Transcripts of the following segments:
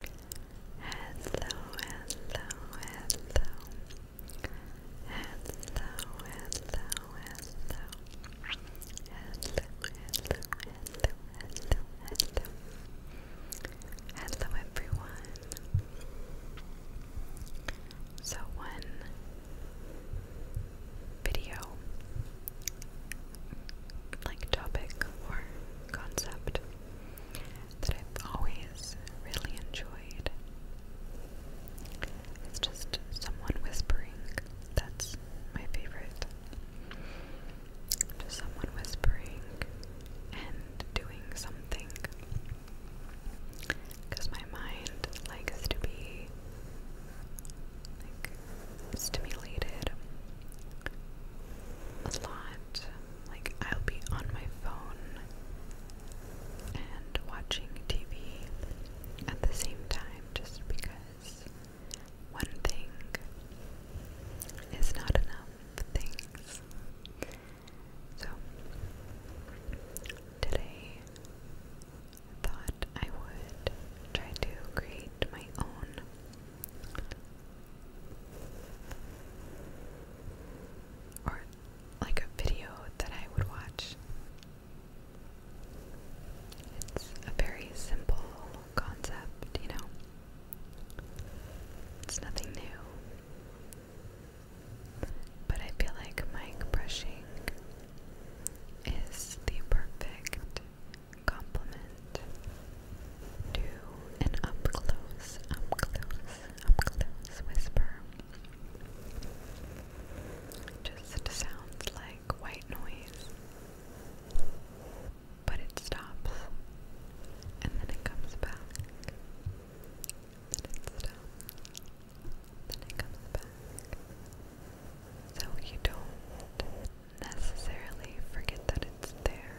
hello, hello. Hello, hello, hello. Hello, hello, hello, hello, hello. Hello, everyone. So, one video, like topic or concept that I've always really enjoyed. It's just someone whispering. That's my favorite. Just someone whispering and doing something. Because my mind likes to be stimulated a lot like, I'll be on my phone and watching TV at the same time just because one thing is not enough things. So, today thought I would try to create my own or like a video that I would watch. It's a very simple concept, you know. It's nothing new. But I feel like mic brushing is the perfect complement do an up close, up close, up close whisper. Just sounds like white noise, but it stops and then it comes back. Then it stops, then it comes back. So you don't necessarily forget that it's there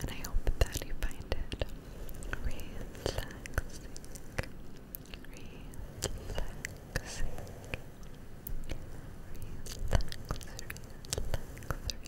and I hope that you find it relaxing, relaxing, relax, relax,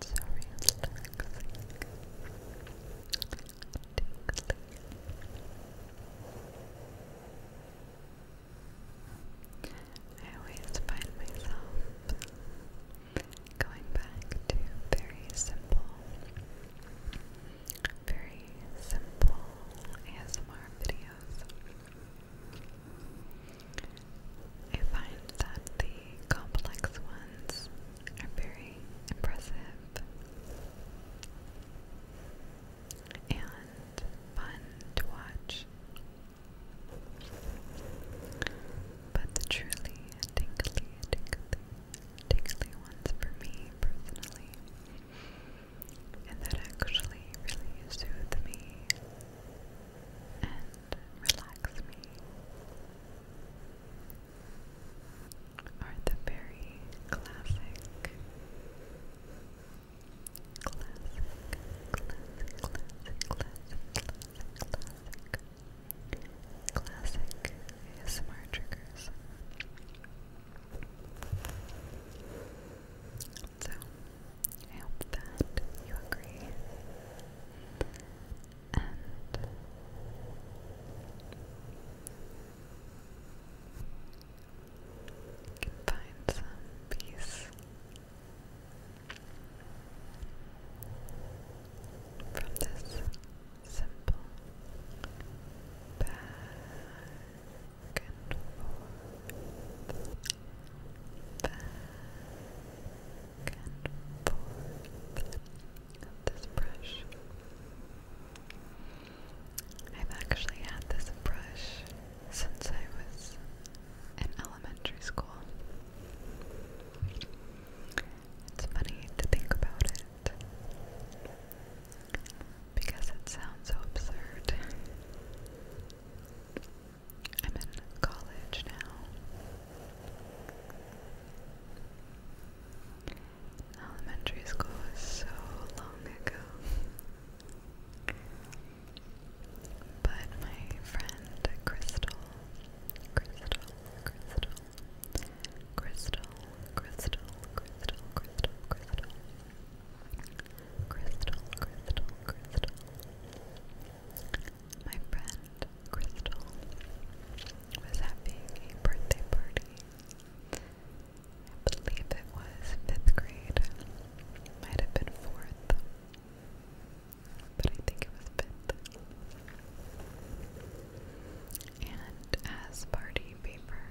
Sorry. I always find myself going back to very simple very simple ASMR videos. I find that the complex ones are very impressive and fun to watch. But the truly tingly, tingly, tingly ones for me personally and that actually really soothed me and relaxed me are the very classic, classic, classic, classic, classic, classic, classic ASMR triggers. So, I hope that you agree. And you can find some peace from this simple bad and forth, back and forth this brush. I've actually had this brush since I was in elementary school. It's funny to think about it because it sounds so absurd. I'm in college now. Elementary school was so long ago. But my friend Crystal, Crystal, Crystal, Crystal, Crystal, Crystal, Crystal, Crystal, Crystal, Crystal, Crystal. My friend Crystal was having a birthday party. I believe it was fifth grade. Might have been fourth. But I think it was fifth. And as party paper,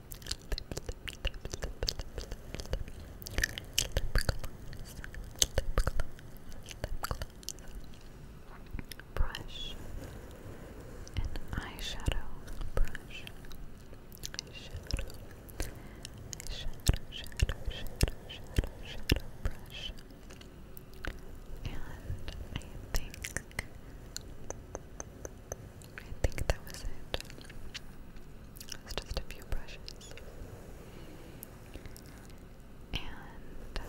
brush and eyeshadow brush eyeshadow eyeshadow shadow shadow shadow shadow brush and I think I think that was it. It just a few brushes. And uh,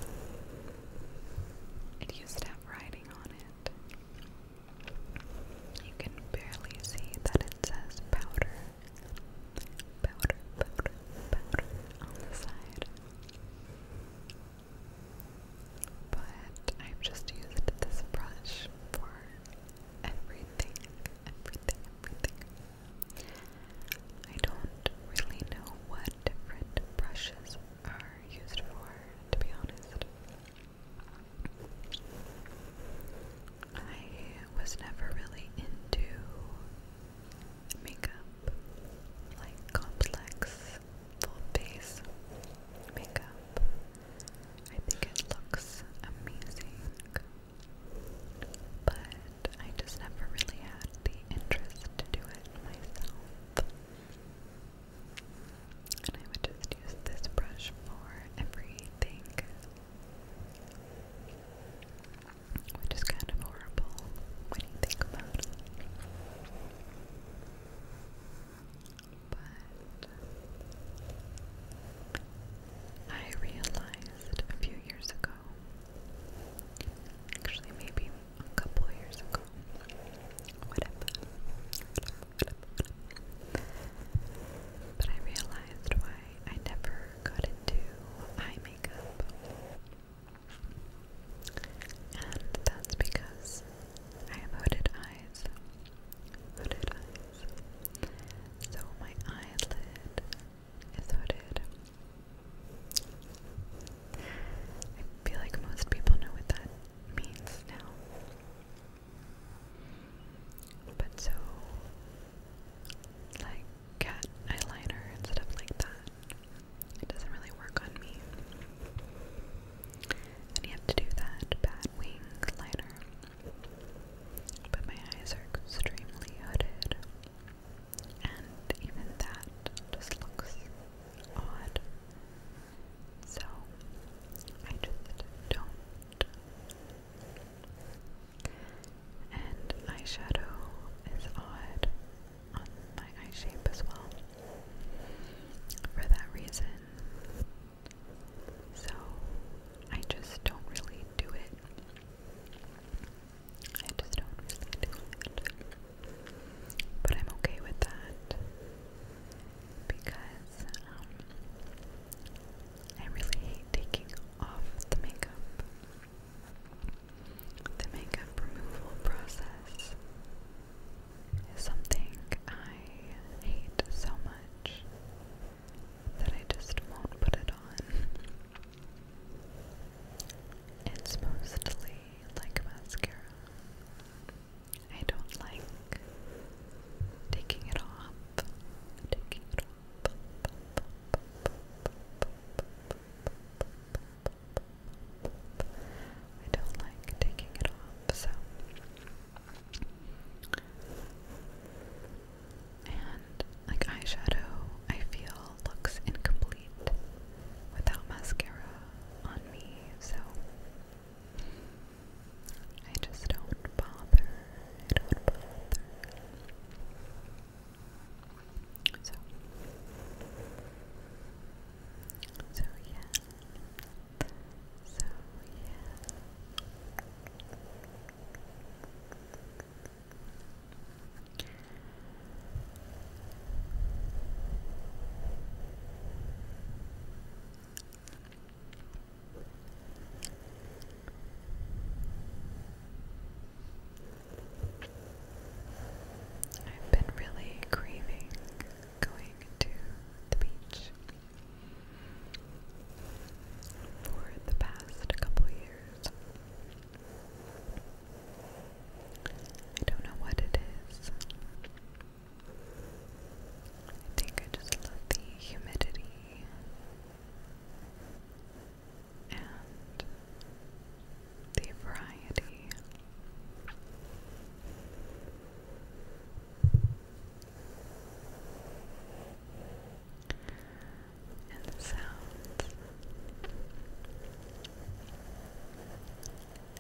it used to have writing on it. You can barely see that it says powder. Powder, powder, powder on the side. But I've just used this brush for everything, everything, everything. I don't really know what different brushes are used for, to be honest. I was never really into makeup, like complex, full face makeup. I think it looks amazing, but I just never really had the interest to do it myself. And I would just use this brush for everything. Which is kind of horrible when you think about it. I realized a few years ago, actually, maybe a couple of years ago, whatever, But I realized why I never got into eye makeup. And that's because I have eyes hooded eyes. So my eyelid is hooded. I feel like most people know what that means now. But so, like cat eyeliner instead of like that, it doesn't really work on me. And you have to do that bat wing liner. But my eyes are extremely hooded, and even that just looks odd. So I just don't. And eyeshadow is odd on my eye shape as well. For that reason, so I just don't really do it. I just don't But I'm okay with that because um, I really hate taking off the makeup. The makeup removal process is something I hate so much that I just won't put it on. It's mostly like mascara. I don't like taking it off. Taking it off. I don't like taking it off, so and like eyeshadow I feel looks incomplete without mascara on me, so I just don't bother. I don't bother. So, so yeah, so yeah. I've been really craving going to the beach for the past couple years. I don't know what it is. I think I just love the humidity and the variety and sounds.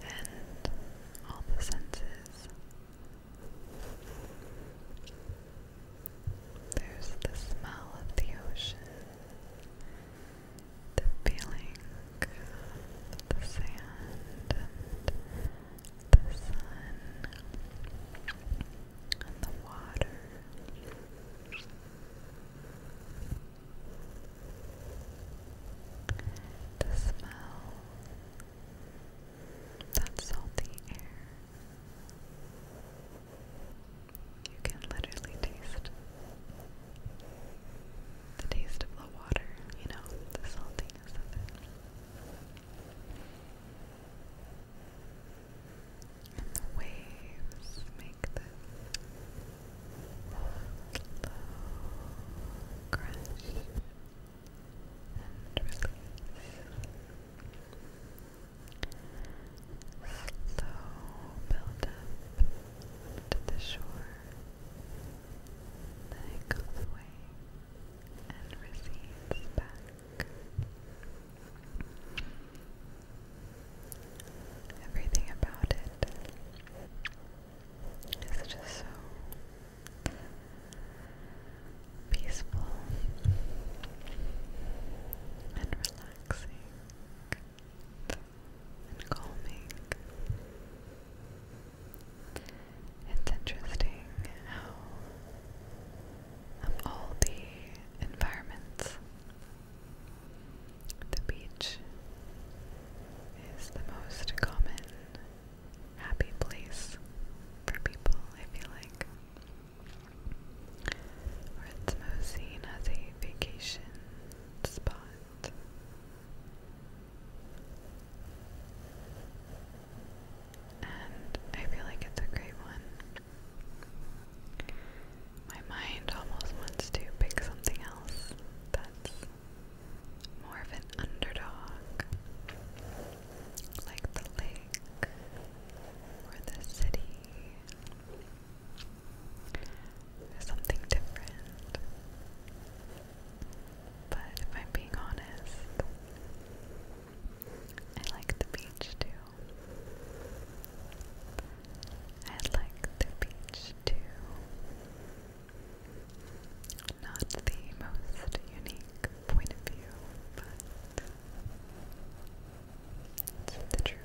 And all the senses. There's the smell of the ocean, the feeling of the sand and the sun, the water. The smell, that salty air. You can literally taste the taste of the water, you know, the saltiness of it. And the waves make this slow crash and release. Slow build up to the shore. Then it goes away and recedes back Everything about it is just so peaceful and relaxing and calming. It's interesting how of all the environments. The beach is the most common happy place for people, I feel like. Or it's most seen as a vacation spot. And I feel like it's a great one. My mind almost wants to pick something else that's more of an underdog, like the lake or the city, something different. But if I'm being honest, I like the beach too. I like the beach too. Not the most unique point of view, but it's the truth.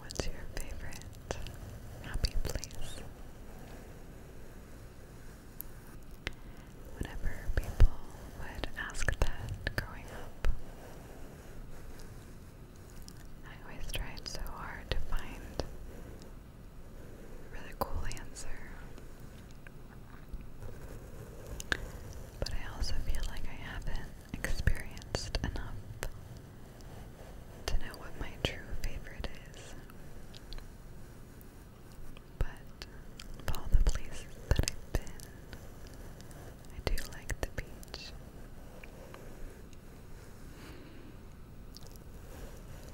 What's your favorite happy place? Whenever people would ask that growing up, I always tried so hard to find really cool answer. But I also feel like I haven't experienced enough to know what my true favorite is. But of all the places that I've been, I do like the beach.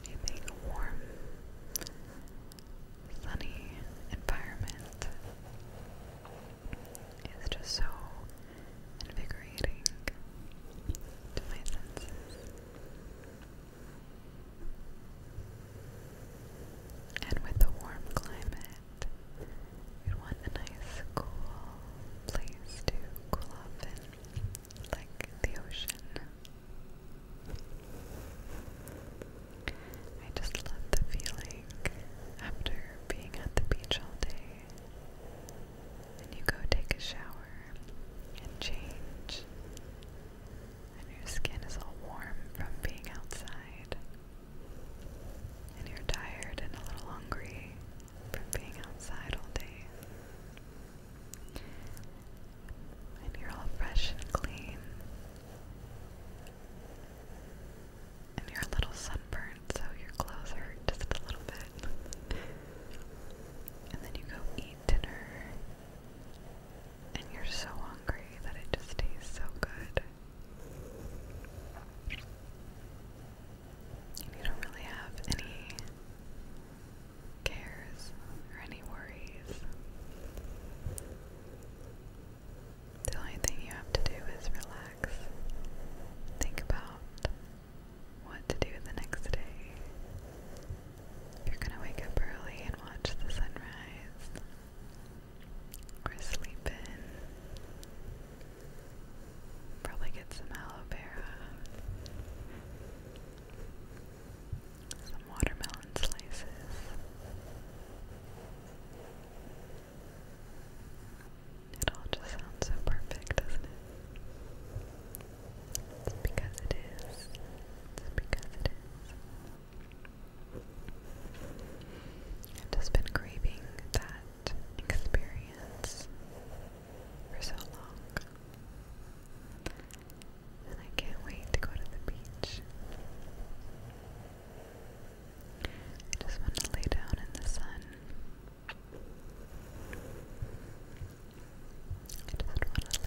Anything warm, sunny environment is just so invigorating to my senses. And with the warm climate, it. We want a nice cool place to cool off in, like the ocean. I just love the feeling after being at the beach all day. And you go take a shower and change, and your skin is all warm from being outside and you're tired and a little hungry from being outside all day, and you're all fresh and clean, and you're a little sunburned, so your clothes hurt just a little bit, and then you go eat dinner. And you're so hungry that it just tastes so good. You don't really have any cares or any worries. The only thing you have to do is relax. Think about what to do the next day. you're gonna wake up early and watch the sunrise, or sleep in, Probably get some aloe vera, some watermelon slices. It all just sounds so perfect, doesn't it? because it is. because it is. I've been craving that experience for so long. And I can't wait to go to the beach. I just want to lay down in the sun. I just want to lay down in the sun.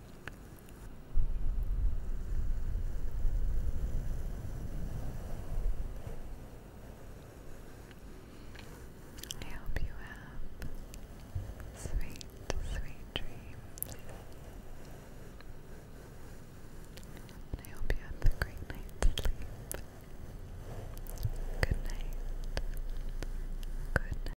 I hope you have sweet, sweet dreams. I hope you have a great night's sleep. Good night. Good